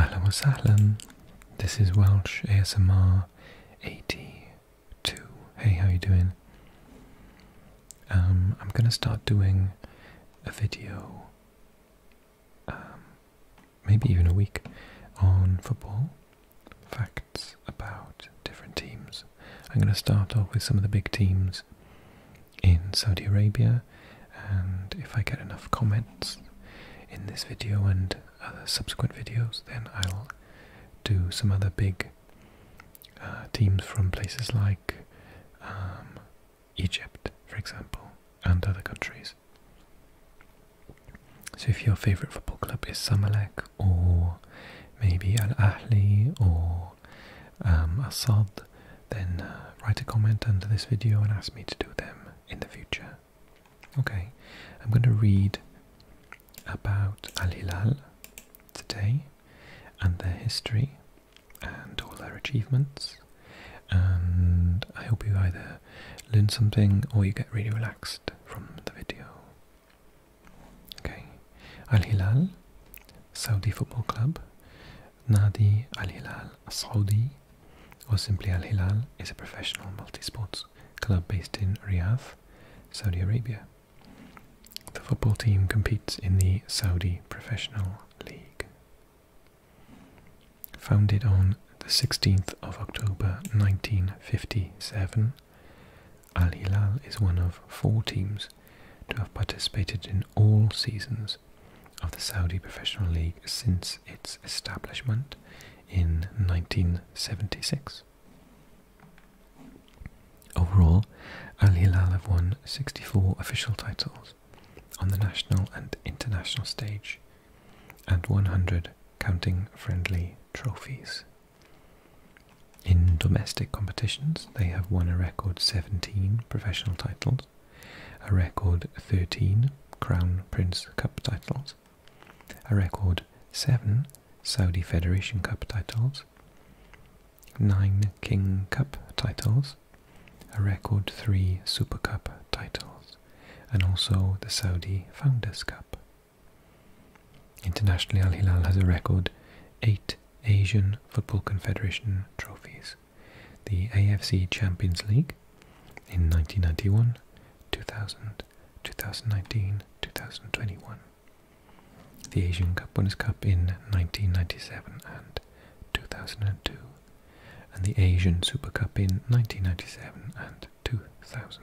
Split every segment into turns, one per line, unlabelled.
Ahlan sahlan, this is Welsh ASMR 82. Hey, how you doing? Um, I'm gonna start doing a video, um, maybe even a week, on football, facts about different teams. I'm gonna start off with some of the big teams in Saudi Arabia, and if I get enough comments in this video and other subsequent videos, then I'll do some other big uh, teams from places like um, Egypt, for example, and other countries. So if your favourite football club is Samalek or maybe Al Ahli or um, Assad then uh, write a comment under this video and ask me to do them in the future. Okay, I'm going to read about Al Hilal today and their history and all their achievements. And I hope you either learn something or you get really relaxed from the video. Okay, Al Hilal, Saudi Football Club, Nadi Al Hilal Saudi, or simply Al Hilal, is a professional multisports club based in Riyadh, Saudi Arabia. The football team competes in the Saudi Professional League. Founded on the 16th of October 1957, Al Hilal is one of four teams to have participated in all seasons of the Saudi Professional League since its establishment in 1976. Overall, Al Hilal have won 64 official titles on the national and international stage and 100 counting friendly trophies. In domestic competitions, they have won a record 17 professional titles a record 13 Crown Prince Cup titles, a record 7 Saudi Federation Cup titles, 9 King Cup titles, a record 3 Super Cup titles, and also the Saudi Founders Cup. Internationally, Al Hilal has a record 8 Asian Football Confederation trophies the AFC Champions League in 1991, 2000, 2019, 2021, the Asian Cup Winners' Cup in 1997 and 2002, and the Asian Super Cup in 1997 and 2000.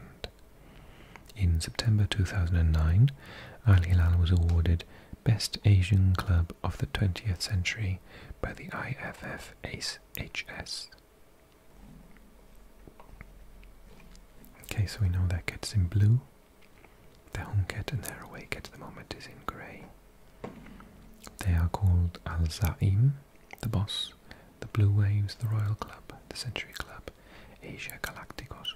In September 2009, Al Hilal was awarded Best Asian Club of the 20th Century by the IFFAC H.S. Okay, so we know that cat's in blue. The home cat and their away cat at the moment is in grey. They are called Al Zaim, the boss, the Blue Waves, the Royal Club, the Century Club, Asia Galacticos.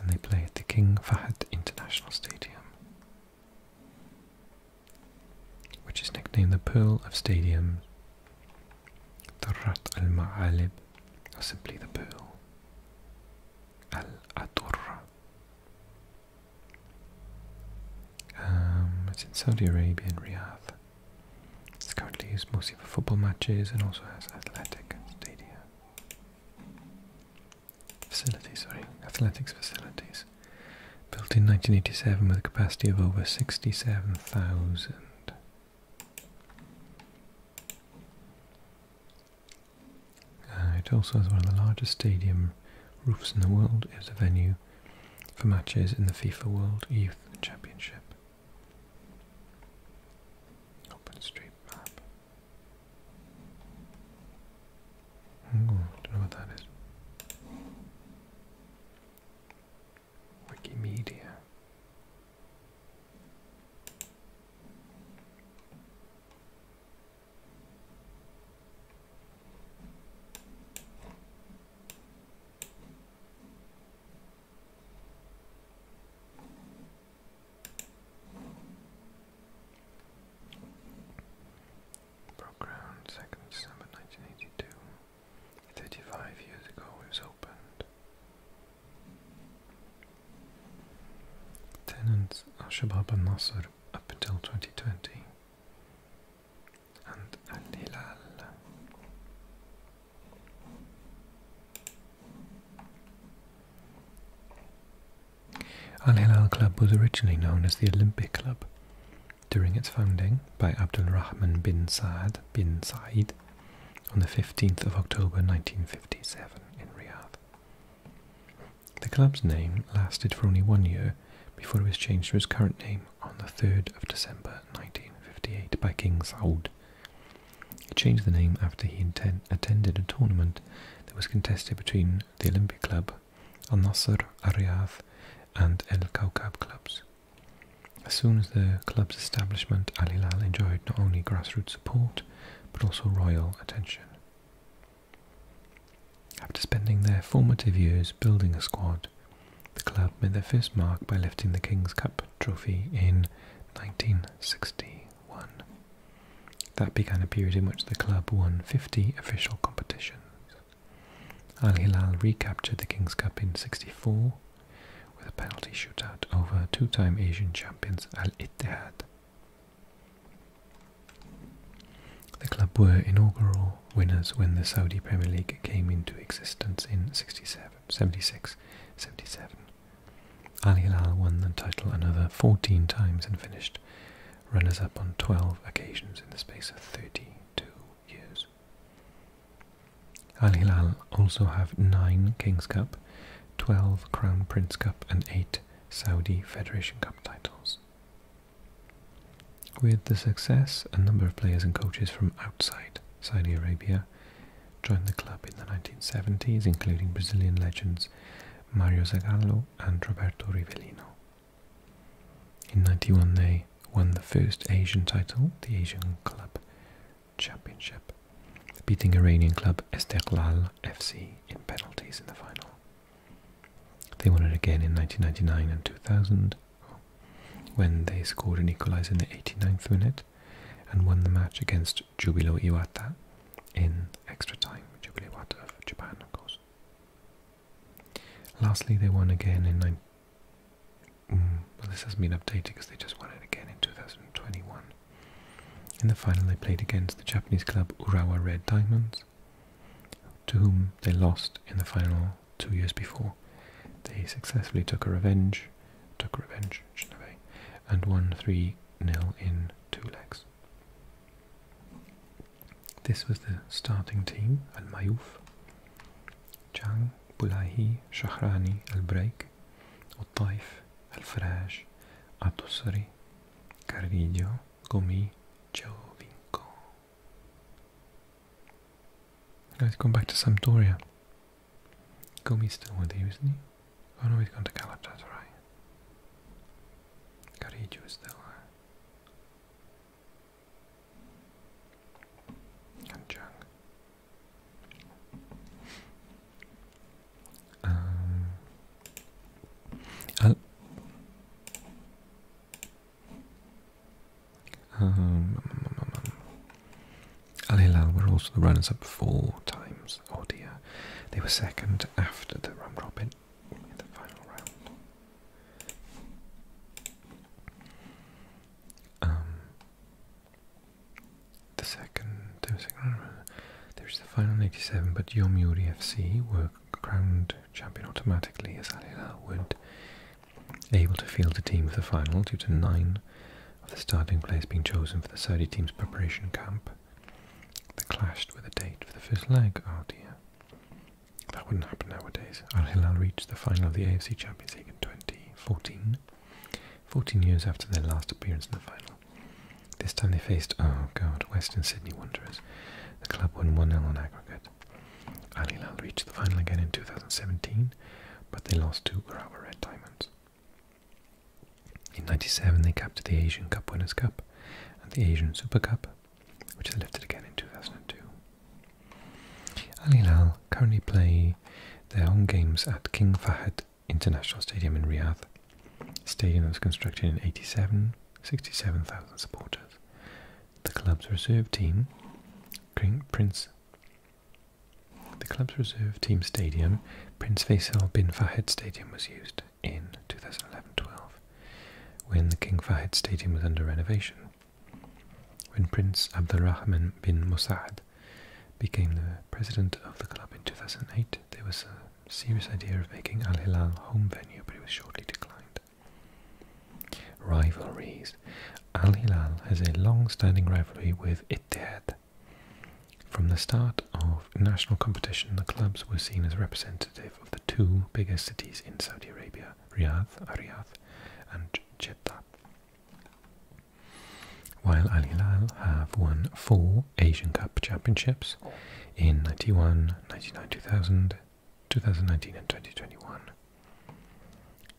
And they play at the King Fahd International Stadium which is nicknamed the Pearl of Stadiums, the Rat al Ma'alib, or simply the Pearl, Al Aturra. Um, it's in Saudi Arabia in Riyadh. It's currently used mostly for football matches and also has athletic stadia facilities, sorry, athletics facilities, built in 1987 with a capacity of over 67,000. Uh, it also has one of the largest stadium roofs in the world. It is a venue for matches in the FIFA World Youth Championship. Open street map. Oh, don't know what that is. Wikimedia broke ground 2nd December 1982. 35 years ago it was opened. Tenants are Shabab al Nasr up until 2020 and Al Hilal. Al Hilal Club was originally known as the Olympic Club. During its founding by Abdul Rahman bin Saad bin Said on the 15th of October 1957 in Riyadh. The club's name lasted for only one year before it was changed to its current name on the 3rd of December 1958 by King Saud. He changed the name after he attended a tournament that was contested between the Olympic Club Al Nasser, Al Riyadh, and Al Kaukab clubs. As soon as the club's establishment, Al Hilal enjoyed not only grassroots support but also royal attention. After spending their formative years building a squad, the club made their first mark by lifting the King's Cup trophy in 1961. That began a period in which the club won 50 official competitions. Al Hilal recaptured the Kings Cup in 64 with a penalty shootout over two-time Asian champions Al Ittihad. The club were inaugural winners when the Saudi Premier League came into existence in 67, 76 77. Al Hilal won the title another 14 times and finished runners up on 12 occasions in the space of 32 years. Al Hilal also have 9 Kings Cup, 12 Crown Prince Cup, and 8 Saudi Federation Cup titles. With the success, a number of players and coaches from outside Saudi Arabia joined the club in the 1970s, including Brazilian legends Mario Zagallo and Roberto Rivellino. In 91 they won the first Asian title, the Asian Club Championship, beating Iranian club Esteghlal FC in penalties in the final. They won it again in 1999 and 2000 when they scored an equaliser in the 89th minute and won the match against Jubilo Iwata in extra time. Jubilo Iwata of Japan, of course. Lastly, they won again in. Nine mm, well, this hasn't been updated because they just won it again in 2021. In the final, they played against the Japanese club Urawa Red Diamonds, to whom they lost in the final two years before. They successfully took a revenge, took a revenge, Shinobe, and won 3 0 in two legs. This was the starting team Al Mayouf, Chang, Bulahi, Shahrani, Al Breik, Al Taif, Al Farash, Atusri, Carrillo, Gomi, Jovinko. Let's go back to Sampdoria. Gomi's still with you, isn't he? Oh no, he's gone to Galatasaray. Carrillo is still there. Kanchang. Um um um, um, um. um. um, Al Hilal were also the runners up four times. Oh dear. They were second after the Ramrobin in the final round. Um, second, there's the final 87, but Yomiuri FC were crowned champion automatically as Al Hilal would able to field a team for the final due to nine of the starting players being chosen for the Saudi team's preparation camp. They clashed with a date for the first leg. Oh that wouldn't happen nowadays. Al Hilal reached the final of the AFC Champions League in 2014, 14 years after their last appearance in the final. This time they faced, oh god, Western Sydney Wanderers. The club won 1 0 on aggregate. Al Hilal reached the final again in 2017, but they lost to Urawa Red Diamonds. In 97, they captured the Asian Cup Winners' Cup and the Asian Super Cup, which they lifted again in 2002. Al Hilal currently play their home games at King Fahd International Stadium in Riyadh. The stadium was constructed in 87, 67,000 supporters. The club's reserve team, Prince the club's reserve team stadium, Prince Faisal bin Fahd Stadium, was used in 2011 12 when the King Fahd Stadium was under renovation. When Prince Abdulrahman bin Musa'ad became the president of the club in 2008, there was a serious idea of making Al Hilal home venue, but it was shortly declined. Rivalries Al Hilal has a long standing rivalry with Ittihad. From the start of national competition, the clubs were seen as representative of the two biggest cities in Saudi Arabia. Riyadh, Riyadh and Jeddah. While Al Hilal have won four Asian Cup championships in 91, 99, 2000, 2019 and 2021.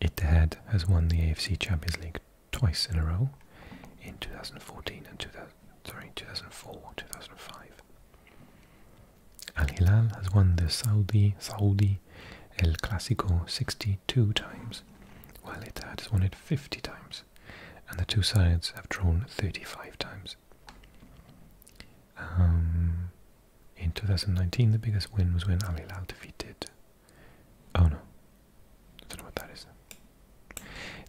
It had has won the AFC Champions League twice in a row in 2014 and 2000, sorry, 2004, 2005. Al Hilal has won the Saudi Saudi El Clasico 62 times, while Etihad has won it 50 times, and the two sides have drawn 35 times. Um, in 2019, the biggest win was when Al Hilal defeated. Oh no, I don't know what that is.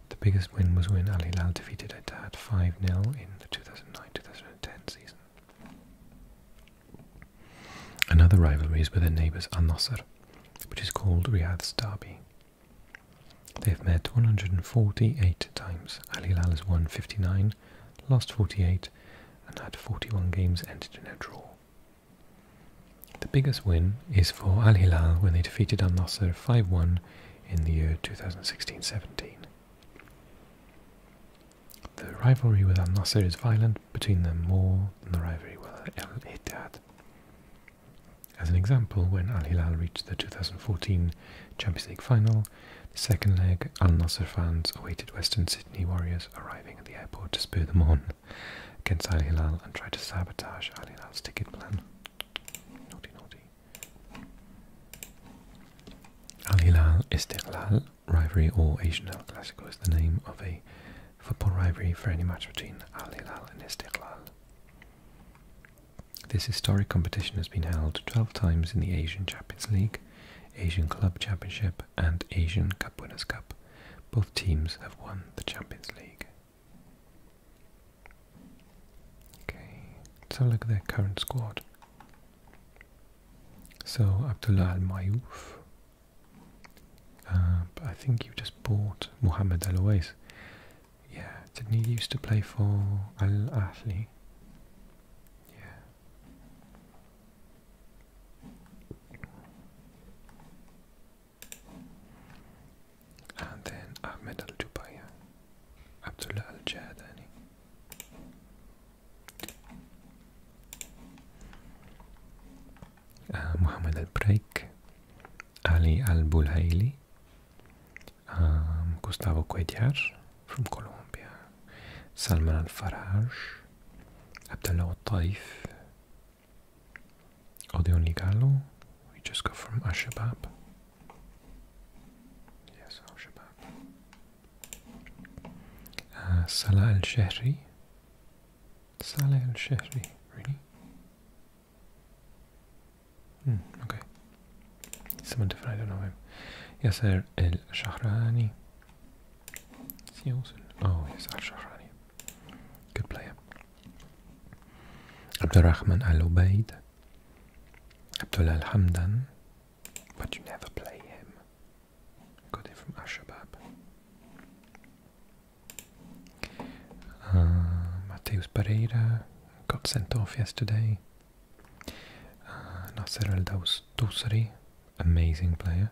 The biggest win was when Al Hilal defeated Etihad 5 0 in the 2009 2010 season. Another rivalry is with their neighbours Al Nasser, which is called Riyadh's Derby. They've met 148 times. Al Hilal has won 59, lost 48, and had 41 games ended in a draw. The biggest win is for Al Hilal when they defeated Al Nasser 5 1 in the year 2016 17. The rivalry with Al Nasser is violent between them more than the rivalry with Al Ittihad. As an example, when Al Hilal reached the 2014 Champions League final, the second leg, Al Nasser fans awaited Western Sydney Warriors arriving at the airport to spur them on against Al Hilal and try to sabotage Al Hilal's ticket plan. Naughty, naughty. Al Hilal Istiqlal rivalry or Asian El Clasico is the name of a football rivalry for any match between Al Hilal and Istiqlal. This historic competition has been held 12 times in the Asian Champions League, Asian Club Championship and Asian Cup Winners' Cup. Both teams have won the Champions League. Okay, let's have a look at their current squad. So Abdullah Al Mayouf. Uh, I think you just bought Mohamed Al Owais. Yeah, did used to play for Al Ahly? Yeah. And then Ahmed Al Jubaya, Abdullah Al Jadani uh, Muhammad al-Breik, Ali al-Bulhaili, um, Gustavo Cuellar from Colombia, Salman al-Faraj, Abdullah al-Taif, Odeon Ligalo, we just got from Ashabab. Yes, Ashabab. Salah Al Shehri. Salah Al Shehri, really? Hmm, okay. Someone different, I don't know him. Yasser Al Shahrani. Is he also? Oh, yes, Al Shahrani. Good player. Abdurrahman Al Ubaid. Abdullah Al Hamdan. But you never play him. Got it from Ashabab. Uh, Mateus Pereira got sent off yesterday. Uh, Nasser El amazing player.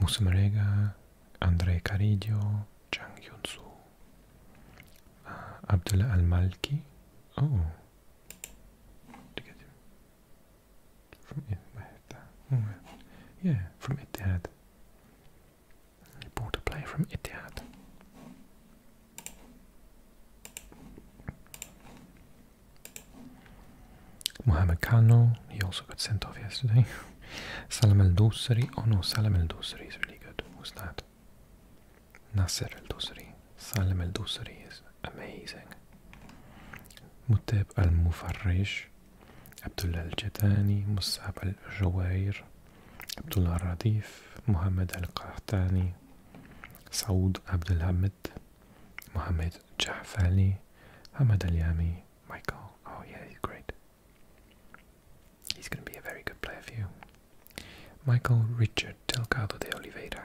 Musa Andre Carillo, Chang Yunsu, uh, Abdullah Al Malki. Oh, to from oh, Yeah, from Etihad. He bought a player from Etihad. Mohamed Kano, he also got sent off yesterday. Salam El Dosri, oh no, Salam El Dosri is really good. Who's that? Nasser El Dosri. Sale Meldusri is amazing. متاب المفرج عبد الله الجداني مصعب الجوائر عبد الله الرديف محمد القحطاني سعود عبد الحمد محمد جعفالي حمد اليامي Michael oh yeah he's great he's gonna be a very good player for you Michael Richard Delgado de Oliveira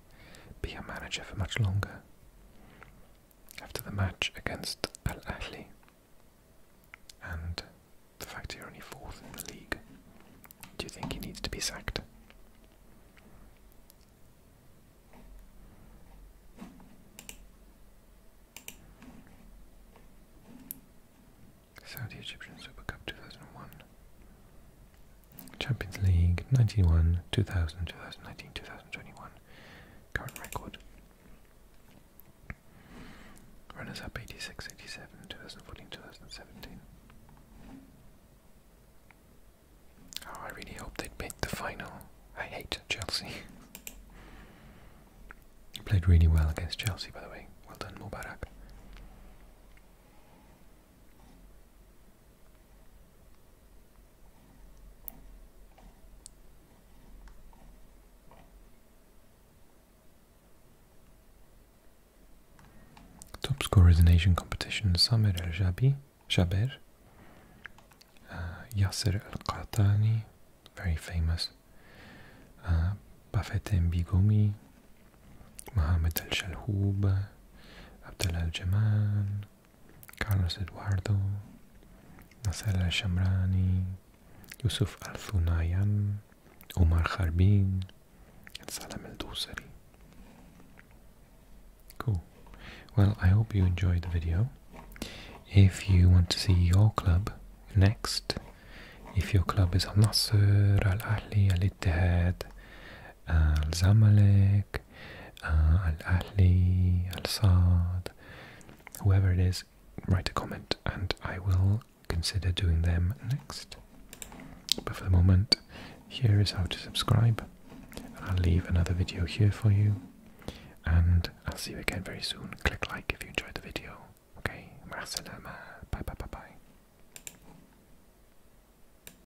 be a manager for much longer. After the match against Al Ahly, and the fact you're only fourth in the league, do you think he needs to be sacked? Saudi Egyptian Super Cup 2001. Champions League 91, 2000, 2019, 2021. Current record. Runners up 86, 87, 2014, 2017. I really hope they'd make the final. I hate Chelsea. Played really well against Chelsea, by the way. Well done, Mubarak. Top scorer in Asian competition Samir El Jabi Jaber, uh, Yasser El Qatani, very famous, uh, Bafet Mbigomi, Mohammed El Shalhoub, Abdel Al-Jaman, Carlos Eduardo, Nasr Al-Shamrani, Yusuf Al-Thunayan, Umar Harbin, and Salam Al-Dusari. Cool. Well, I hope you enjoyed the video. If you want to see your club next, if your club is Al Nasr, Al Ahli, Al Ittihad, Al Zamalek, uh, al Ali, Al Saad, whoever it is, write a comment and I will consider doing them next. But for the moment, here is how to subscribe. I'll leave another video here for you, and I'll see you again very soon. Click like if you enjoyed the video. Okay, Ma'asalama. Bye bye bye bye.